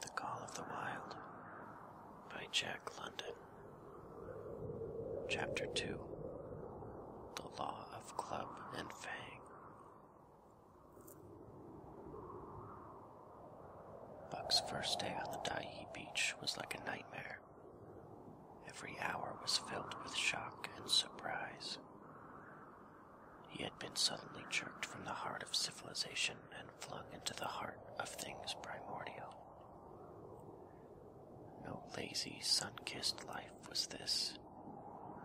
The Call of the Wild by Jack London. Chapter 2 The Law of Club and Fang. Buck's first day on the Dai beach was like a nightmare. Every hour was filled with shock and surprise. He had been suddenly jerked from the heart of civilization and flung into the heart of things primordial. No lazy, sun kissed life was this,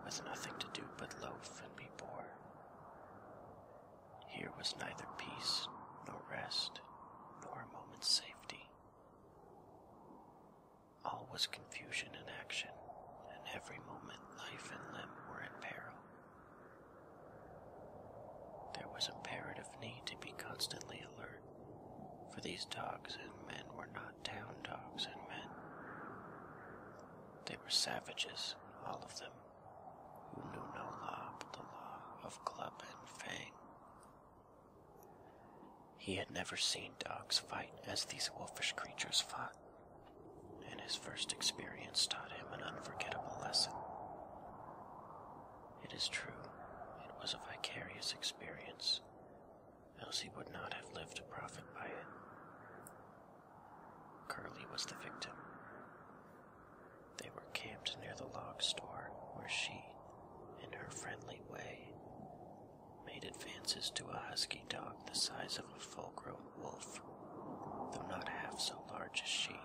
with nothing to do but loaf and be bored. Here was neither peace nor rest nor a moment's safety. All was confusion and action, and every moment life and limb were in peril. There was imperative need to be constantly alert, for these dogs and men were not town dogs and men. They were savages, all of them who knew no law but the law of club and fang. He had never seen dogs fight as these wolfish creatures fought, and his first experience taught him an unforgettable lesson. It is true, it was a vicarious experience, else he would not have lived to profit by it. Carly was the victim. They were camped near the log store where she, in her friendly way, made advances to a husky dog the size of a full grown wolf, though not half so large as she.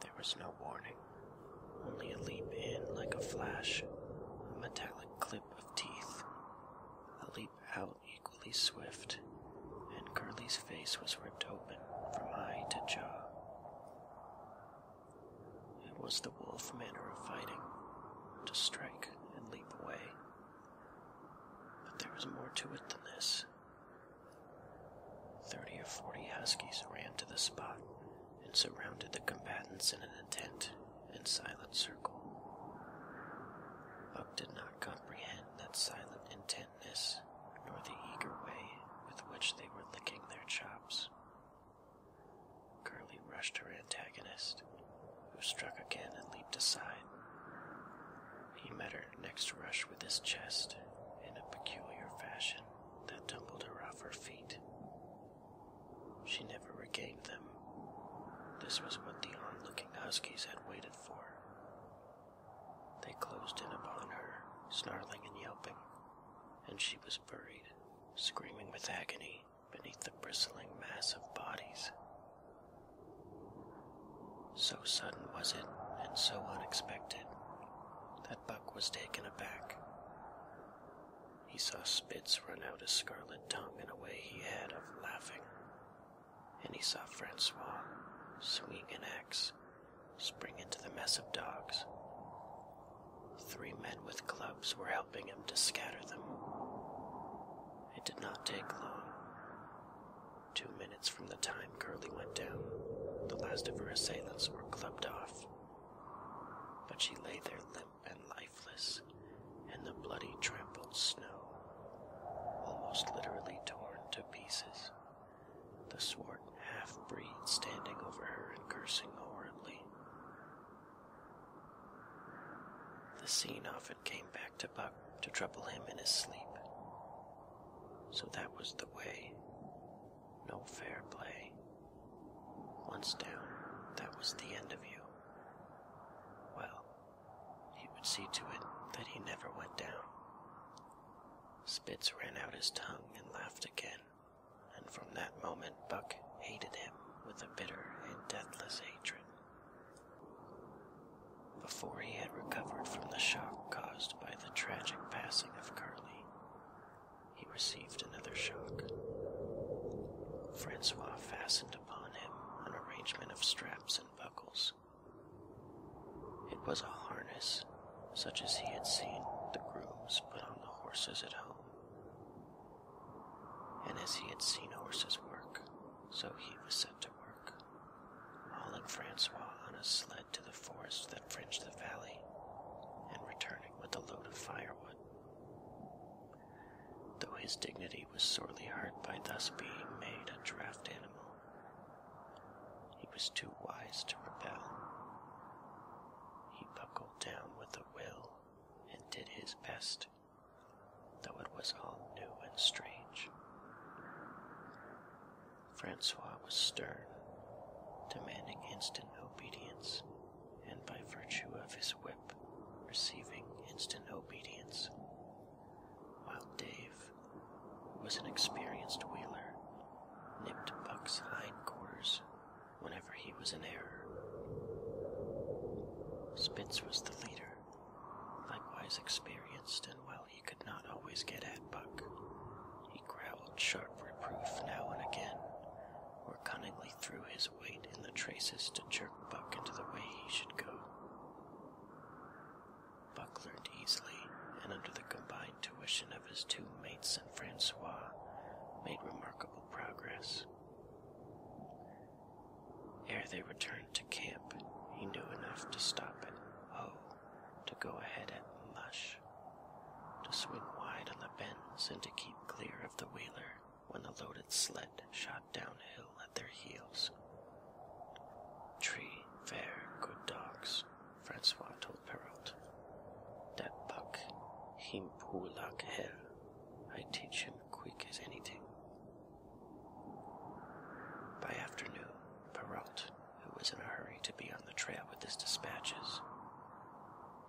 There was no warning, only a leap in like a flash, a metallic clip of teeth, a leap out equally swift, and Curly's face was ripped open from eye to jaw. It was the wolf manner of fighting to strike and leap away. But there was more to it than this. Thirty or forty huskies ran to the spot and surrounded the combatants in an intent and silent circle. Buck did not comprehend that silent intentness, nor the eager way with which they were licking their chops. Curly rushed her antagonist, who struck again and leaped aside. He met her next rush with his chest in a peculiar fashion that tumbled her off her feet. She never regained them. This was what the onlooking huskies had waited for. They closed in upon her, snarling and yelping, and she was buried, screaming with agony, beneath the bristling mass of bodies. So sudden was it, and so unexpected, that Buck was taken aback. He saw Spitz run out his scarlet tongue in a way he had of laughing, and he saw Francois swinging an axe spring into the mess of dogs. Three men with clubs were helping him to scatter them. It did not take long. Two minutes from the time Curly went down, the last of her assailants were clubbed off. But she lay there limp and lifeless, in the bloody trampled snow, almost literally torn to pieces. The swart half breed standing over her and cursing horribly. The scene often came back to Buck to trouble him in his sleep. So that was the way. No fair play. Once down, that was the end of you. Well, he would see to it that he never went down. Spitz ran out his tongue and laughed again, and from that moment Buck hated him with a bitter and deathless hatred. Before he had recovered from the shock caused by the tragic passing of Curly, he received another shock. Francois fastened upon him an arrangement of straps buckles. It was a harness, such as he had seen the grooms put on the horses at home. And as he had seen horses work, so he was set to work. Raoul and Francois on a sled to the forest that fringed the valley, and returning with a load of firewood though his dignity was sorely hurt by thus being made a draft animal. He was too wise to rebel. He buckled down with a will and did his best, though it was all new and strange. Francois was stern, demanding instant obedience, and by virtue of his whip, receiving instant obedience while Dave was an experienced wheeler, nipped Buck's hindquarters whenever he was in error. Spitz was the leader, likewise experienced, and while he could not always get at Buck, he growled sharp reproof now and again, or cunningly threw his weight in the traces to jerk Buck into the way he should go. Buck learned easily, and under the combined tuition of his two mates and Francois, made remarkable progress. Ere they returned to camp, he knew enough to stop at oh, to go ahead at Lush, to swing wide on the bends and to keep clear of the wheeler when the loaded sled shot downhill at their heels. Tree, fair, good dogs, Francois told Perrault. That buck, him pull like hell. I teach him quick as anything. By afternoon, Perrault, who was in a hurry to be on the trail with his dispatches,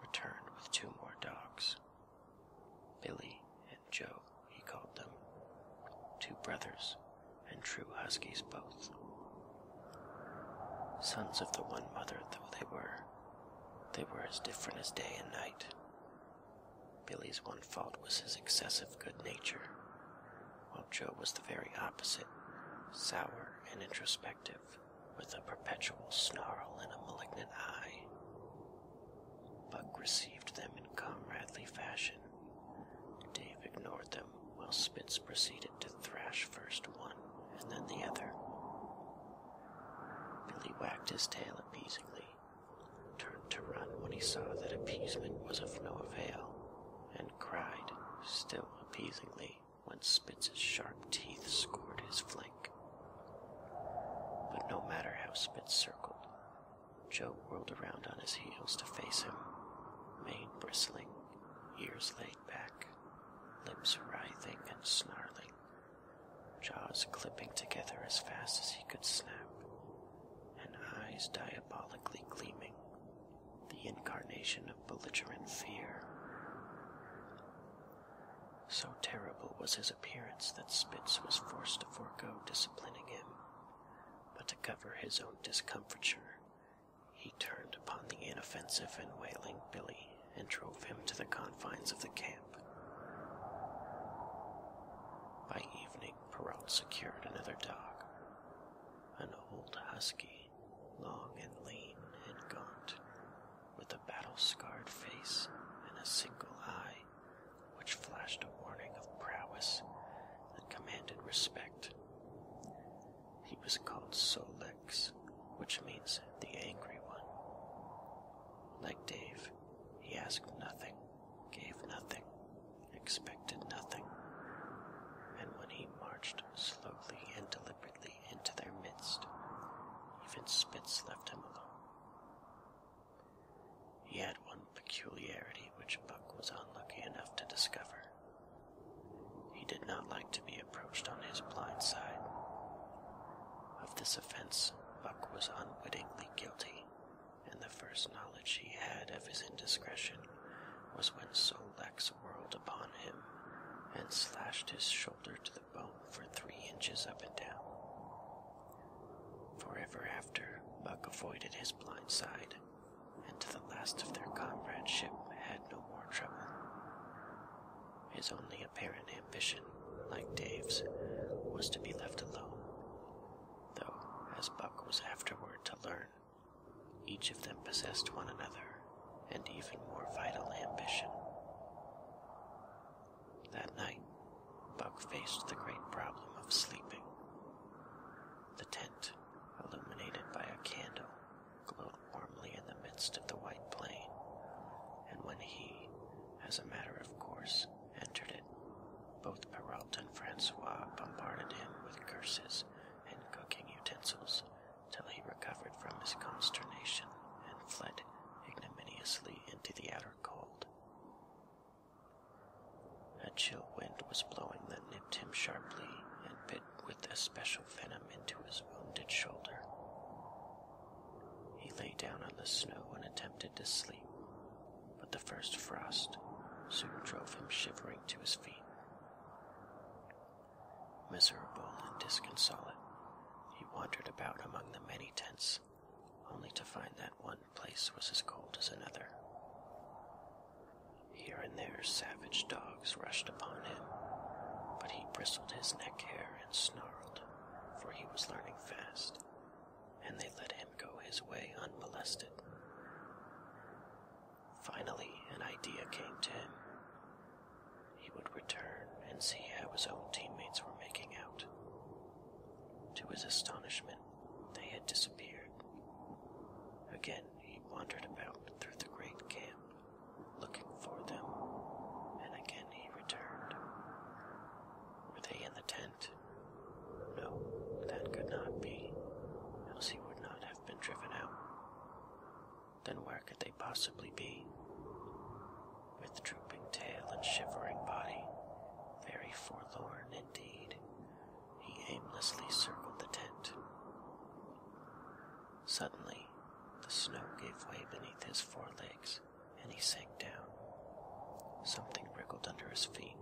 returned with two more dogs Billy and Joe, he called them, two brothers and true huskies both. Sons of the one mother though they were, they were as different as day and night. Billy's one fault was his excessive good nature, while Joe was the very opposite, sour and introspective, with a perpetual snarl and a malignant eye. Buck received them in comradely fashion. Dave ignored them, while Spitz proceeded to thrash first one and then the other. Billy wagged his tail appeasingly, turned to run when he saw that appeasement was of no avail, and cried, still appeasingly, when Spitz's sharp teeth scored his flank. But no matter how Spitz circled, Joe whirled around on his heels to face him, mane bristling, ears laid back, lips writhing and snarling, jaws clipping together as fast as he could snap, and eyes diabolically gleaming, the incarnation of belligerent fear. So terrible was his appearance that Spitz was forced forego disciplining him, but to cover his own discomfiture, he turned upon the inoffensive and wailing Billy and drove him to the confines of the camp. By evening, Perrault secured another dog, an old husky, long and lean and gaunt, with a battle scarred face and a single eye which flashed a warning of prowess and commanded respect. He was called Solix, which means the angry one. Like Dave, he asked nothing, gave nothing, expected nothing. And when he marched slowly and deliberately into their midst, even Spitz left him alone. He had one peculiarity which Buck was unlucky enough to discover. He did not like to be approached on his blind side. Of this offense, Buck was unwittingly guilty, and the first knowledge he had of his indiscretion was when Solex whirled upon him and slashed his shoulder to the bone for three inches up and down. Forever after, Buck avoided his blind side, and to the last of their comradeship had no more trouble. His only apparent ambition, like Dave's, was to be left alone, though, as Buck was afterward to learn, each of them possessed one another, and even more vital ambition. That night, Buck faced the great problem of sleeping. The tent, illuminated by a candle, glowed warmly in the midst of the white plain, and when he, as a matter of course, entered it, both Perrault and Francois bombarded him with curses and cooking utensils till he recovered from his consternation and fled ignominiously into the outer cold. A chill wind was blowing that nipped him sharply and bit with especial venom into his wounded shoulder. He lay down on the snow and attempted to sleep, but the first frost soon drove him shivering to his feet. Miserable and disconsolate, he wandered about among the many tents only to find that one place was as cold as another. Here and there savage dogs rushed upon him, but he bristled his neck hair and snarled, for he was learning fast, and they let him go his way unmolested. Finally, an idea came to him. He would return and see how his own teammates were making out. To his astonishment, they had disappeared. Again he wandered about through the great camp, looking for them, and again he returned. Were they in the tent? No, that could not be, else he would not have been driven out. Then where could they possibly be? with drooping tail and shivering body, very forlorn indeed, he aimlessly circled the tent. Suddenly, the snow gave way beneath his forelegs, and he sank down. Something wriggled under his feet.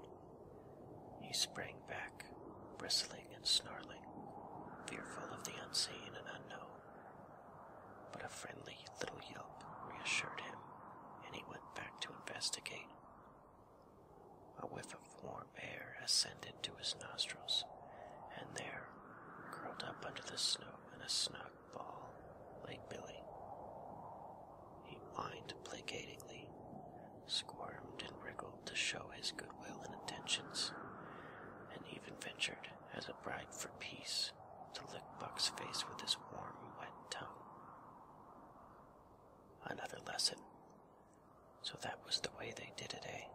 He sprang back, bristling and snarling, fearful of the unseen and unknown but a friendly little yelp reassured him, and he went back to investigate. A whiff of warm air ascended to his nostrils, and there, curled up under the snow in a snug ball, lay Billy. He whined placatingly, squirmed and wriggled to show his goodwill and attentions, and even ventured, as a bribe for peace, to lick Buck's face with his warm, wet tongue. Another lesson. So that was the way they did it, eh?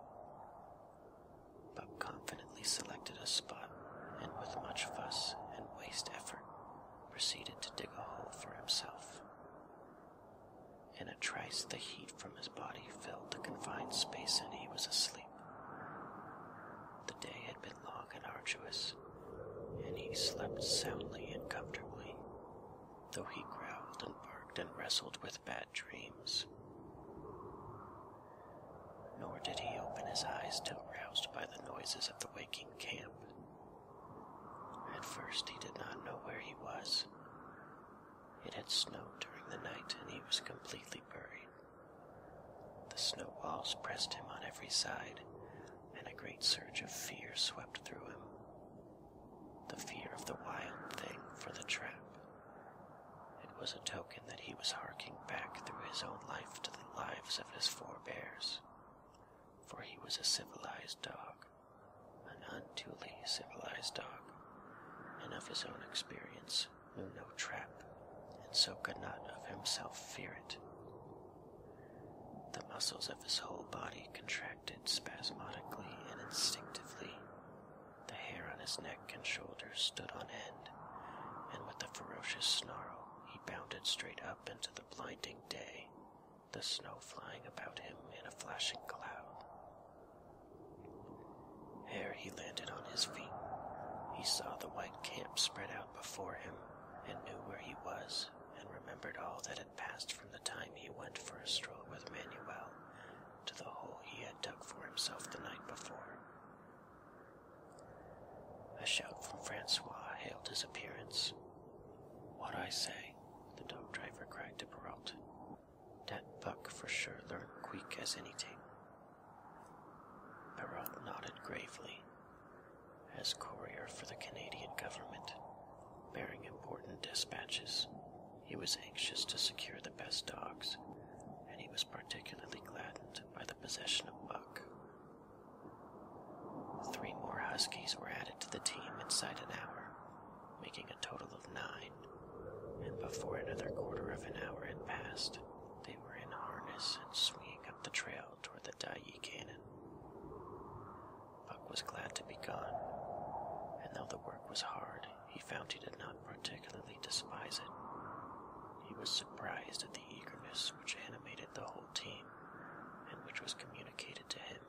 Buck confidently selected a spot and, with much fuss and waste effort, proceeded to dig a hole for himself. In a trice, the heat from his body filled the confined space and he was asleep. The day had been long and arduous, and he slept soundly and comfortably, though he growled and barked and wrestled with bad dreams. Nor did he open his eyes till roused by the noises of the waking camp. At first, he did not know where he was. It had snowed during the night, and he was completely buried. The snow walls pressed him on every side, and a great surge of fear swept through him. The fear of the wild thing for the trap. It was a token that he was harking back through his own life to the lives of his forebears. For he was a civilized dog, an unduly civilized dog, and of his own experience knew no trap, and so could not of himself fear it. The muscles of his whole body contracted spasmodically and instinctively. The hair on his neck and shoulders stood on end, and with a ferocious snarl he bounded straight up into the blinding day, the snow flying about him in a flashing cloud. Ere he landed on his feet, he saw the white camp spread out before him, and knew where he was, and remembered all that had passed from the time he went for a stroll with Manuel to the hole he had dug for himself the night before. A shout from Francois hailed his appearance. What I say? the dog driver cried to Perrault. Dat buck for sure learn quick as anything. Baroth nodded gravely. As courier for the Canadian government, bearing important dispatches, he was anxious to secure the best dogs, and he was particularly gladdened by the possession of Buck. Three more Huskies were added to the team inside an hour, making a total of nine, and before another quarter of an hour had passed, they were in harness and swinging up the trail toward the Daiyi Canyon. Buck was glad to be gone, and though the work was hard, he found he did not particularly despise it. He was surprised at the eagerness which animated the whole team and which was communicated to him.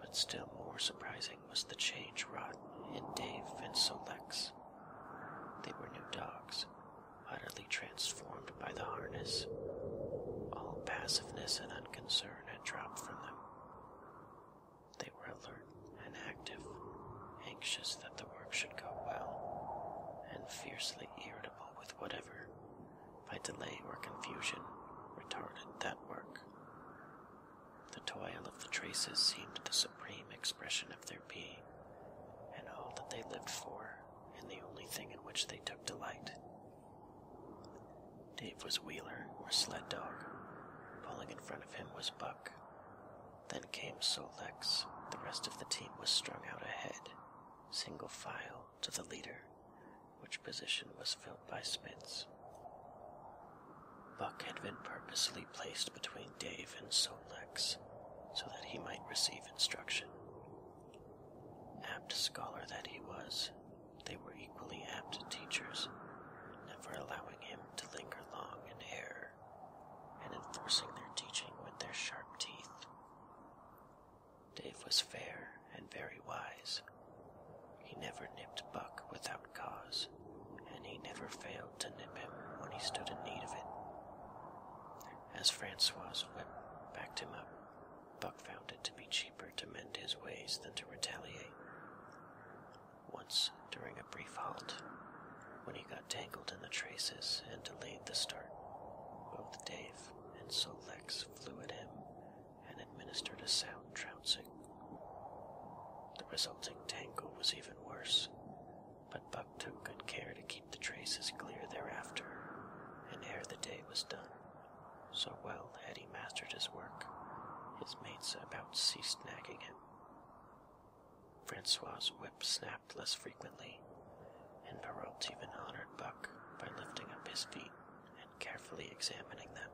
But still more surprising was the change wrought in Dave and Solex. They were new dogs, utterly transformed by the harness. All passiveness and unconcern had dropped from them. They were alert and active, anxious that the work should go well, and fiercely irritable with whatever, by delay or confusion, retarded that work. The toil of the traces seemed the supreme expression of their being, and all that they lived for and the only thing in which they took delight. Dave was Wheeler, or sled dog. Pulling in front of him was Buck. Then came Solex. The rest of the team was strung out ahead, single file to the leader, which position was filled by Spitz. Buck had been purposely placed between Dave and Solix, so that he might receive instruction. Apt scholar that he was, they were equally apt teachers, never allowing him to linger long in error, and enforcing their teaching with their sharp teeth. Dave was fair and very wise. He never nipped Buck without cause, and he never failed to nip him when he stood in need of it. As Francois whip backed him up, Buck found it to be cheaper to mend his ways than to retaliate. Once, during a brief halt, when he got tangled in the traces and delayed the start, both Dave and Solex flew at him and administered a sound trouncing. The resulting tangle was even worse, but Buck took good care to keep the traces clear thereafter, and ere the day was done, so well had he mastered his work, his mates about ceased nagging him. Francois's whip snapped less frequently, and Perrault even honored Buck by lifting up his feet and carefully examining them.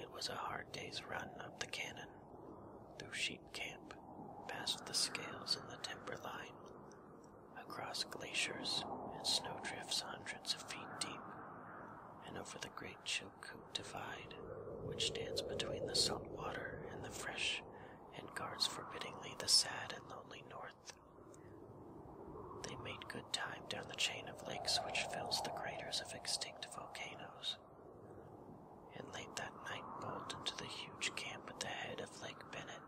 It was a hard day's run up the canyon, through sheep camp, past the scales in the timberline, across glaciers and snowdrifts hundreds of feet deep, and over the great Chilkoot Divide, which stands between the salt water and the fresh and guards forbiddingly the sad and lonely north. They made good time down the chain of lakes which fills the craters of extinct volcanoes and late that night bolted to the huge camp at the head of Lake Bennett,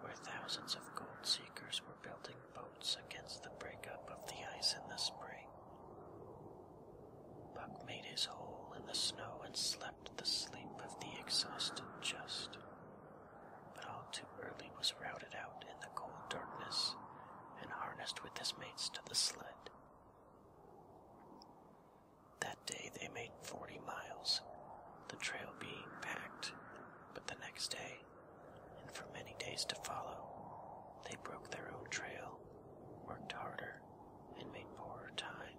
where thousands of gold seekers were building boats against the breakup of the ice in the spring. Buck made his hole in the snow and slept the sleep of the exhausted just, but all too early was routed out in the cold darkness and harnessed with his mates to the sled. That day they made 40 miles, the trail being packed, but the next day, and for many days to follow, they broke their own trail, worked harder, and made poorer time.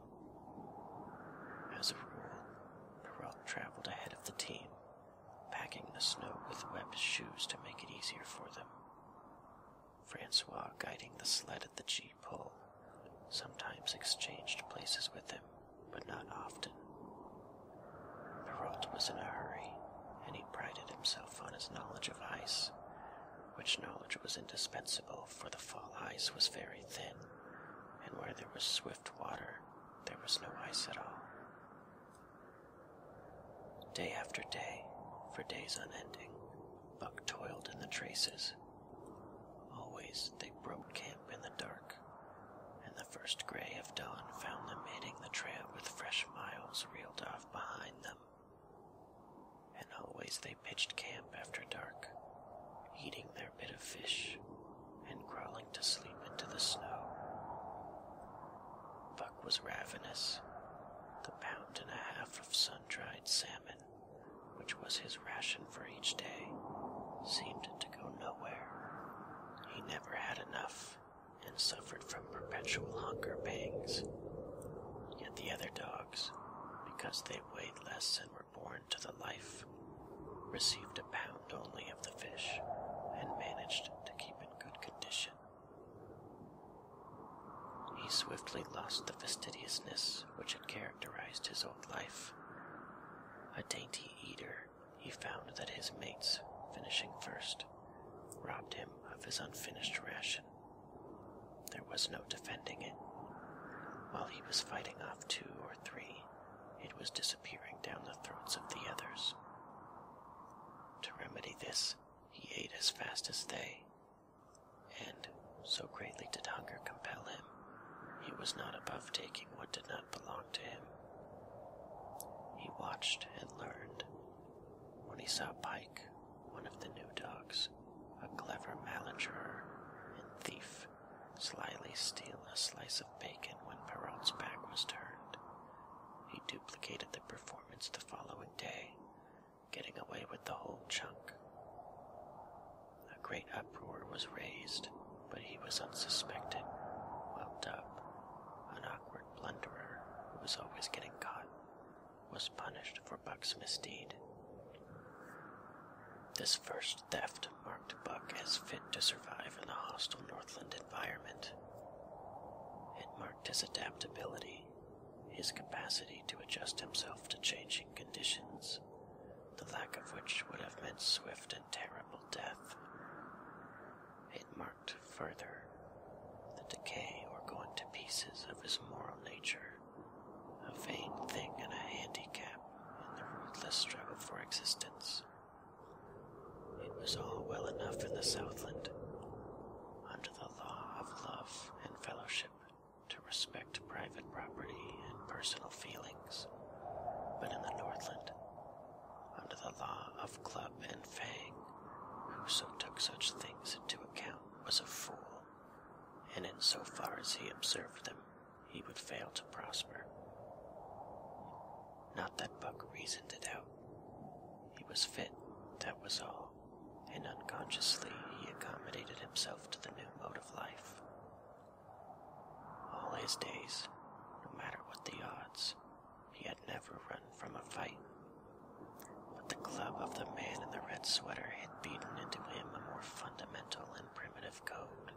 As a rule, Perrault traveled ahead of the team, packing the snow with Webb's shoes to make it easier for them. Francois, guiding the sled at the gee pull, sometimes exchanged places with him, but not often. Perrault was in a hurry, and he prided himself on his knowledge of ice, which knowledge was indispensable, for the fall ice was very thin, and where there was swift water, there was no ice at all. Day after day, for days unending, Buck toiled in the traces. Always they broke camp in the dark, and the first gray of dawn found them hitting the trail with fresh miles reeled off behind them. And always they pitched camp after dark, eating their bit of fish and crawling to sleep into the snow. Buck was ravenous. The pound and a half of sun dried salmon which was his ration for each day, seemed to go nowhere. He never had enough and suffered from perpetual hunger pangs. Yet the other dogs, because they weighed less and were born to the life, received a pound only of the fish and managed to keep in good condition. He swiftly lost the fastidiousness which had characterized his old life. A dainty eater, he found that his mates, finishing first, robbed him of his unfinished ration. There was no defending it. While he was fighting off two or three, it was disappearing down the throats of the others. To remedy this, he ate as fast as they, and, so greatly did hunger compel him, he was not above taking what did not belong to him. He watched and learned. When he saw Pike, one of the new dogs, a clever malingerer and thief, slyly steal a slice of bacon when Perrault's back was turned, he duplicated the performance the following day getting away with the whole chunk. A great uproar was raised, but he was unsuspected, well up. An awkward blunderer who was always getting caught was punished for Buck's misdeed. This first theft marked Buck as fit to survive in the hostile Northland environment. It marked his adaptability his capacity to adjust himself to changing conditions, the lack of which would have meant swift and terrible death. It marked further the decay or going to pieces of his moral nature, a vain thing and a handicap in the ruthless struggle for existence. It was all well enough in the Southland, under the law of love and fellowship to respect private property and personal feelings, but in the Northland, under the law of club and fang, whoso took such things into account was a fool, and in so far as he observed them, he would fail to prosper. Not that Buck reasoned it out. He was fit, that was all and unconsciously he accommodated himself to the new mode of life. All his days, no matter what the odds, he had never run from a fight. But the club of the man in the red sweater had beaten into him a more fundamental and primitive code.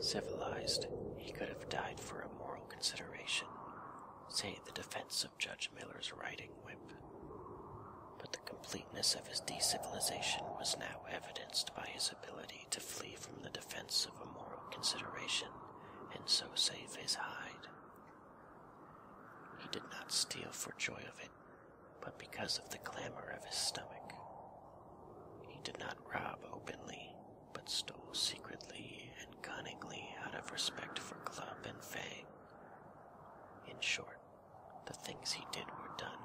Civilized, he could have died for a moral consideration, say the defense of Judge Miller's writing whip. But the completeness of his decivilization was now evidenced by his ability to flee from the defense of a moral consideration and so save his hide. He did not steal for joy of it, but because of the clamor of his stomach. He did not rob openly, but stole secretly and cunningly out of respect for club and fang. In short, the things he did were done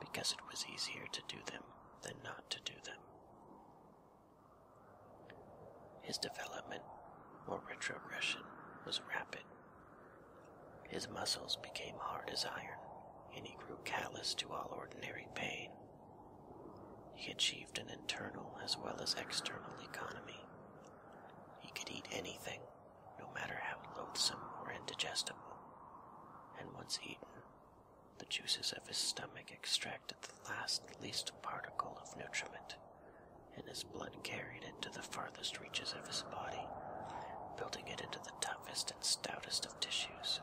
because it was easier to do them than not to do them. His development, or retrogression, was rapid. His muscles became hard as iron, and he grew callous to all ordinary pain. He achieved an internal as well as external economy he could eat anything, no matter how loathsome or indigestible, and once eaten, the juices of his stomach extracted the last least particle of nutriment, and his blood carried it to the farthest reaches of his body, building it into the toughest and stoutest of tissues.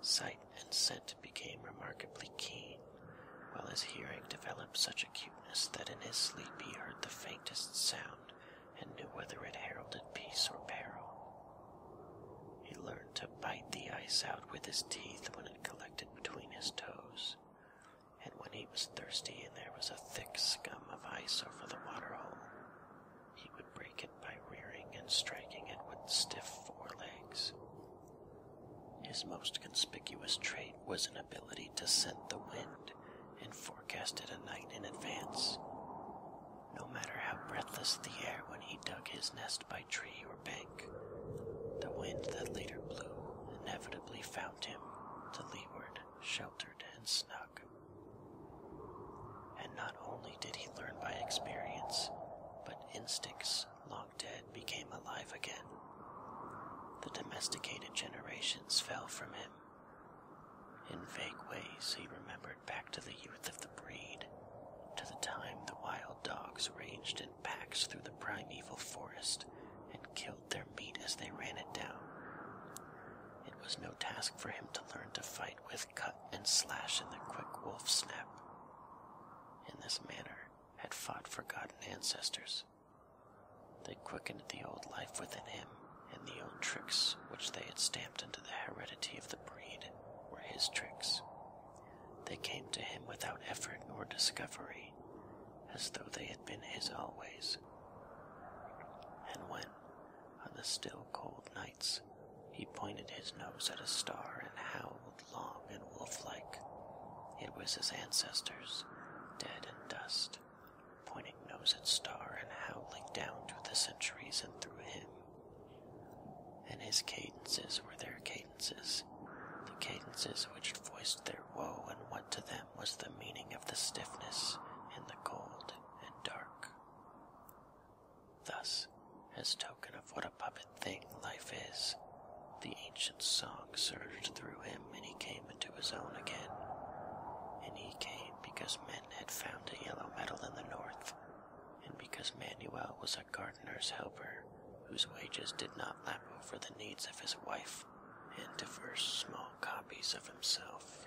Sight and scent became remarkably keen, while his hearing developed such acuteness that in his sleep he heard the faintest sound and knew whether it heralded peace or peril. He learned to bite the ice out with his teeth when it collected between his toes, and when he was thirsty and there was a thick scum of ice over the waterhole, he would break it by rearing and striking it with stiff forelegs. His most conspicuous trait was an ability to scent the wind and forecast it a night in advance. No matter how breathless the air when he dug his nest by tree or bank, the wind that later blew inevitably found him to leeward, sheltered and snug. And not only did he learn by experience, but instincts long dead became alive again. The domesticated generations fell from him. In vague ways, he remembered back to the youth of the breed, to the time the wild dogs ranged in packs through the primeval forest and killed their meat as they ran it down. It was no task for him to learn to fight with cut and slash in the quick wolf snap. In this manner had fought forgotten ancestors. They quickened the old life within him, and the old tricks which they had stamped into the heredity of the breed were his tricks. They came to him without effort or discovery, as though they had been his always. And when, on the still cold nights, he pointed his nose at a star and howled long and wolf like. It was his ancestors, dead in dust, pointing nose at star and howling down through the centuries and through him. And his cadences were their cadences, the cadences which voiced their woe and what to them was the meaning of the stiffness and the cold and dark. Thus, as token of what a puppet thing life is, the ancient song surged through him, and he came into his own again. And he came because men had found a yellow metal in the north, and because Manuel was a gardener's helper, whose wages did not lap over the needs of his wife and diverse small copies of himself.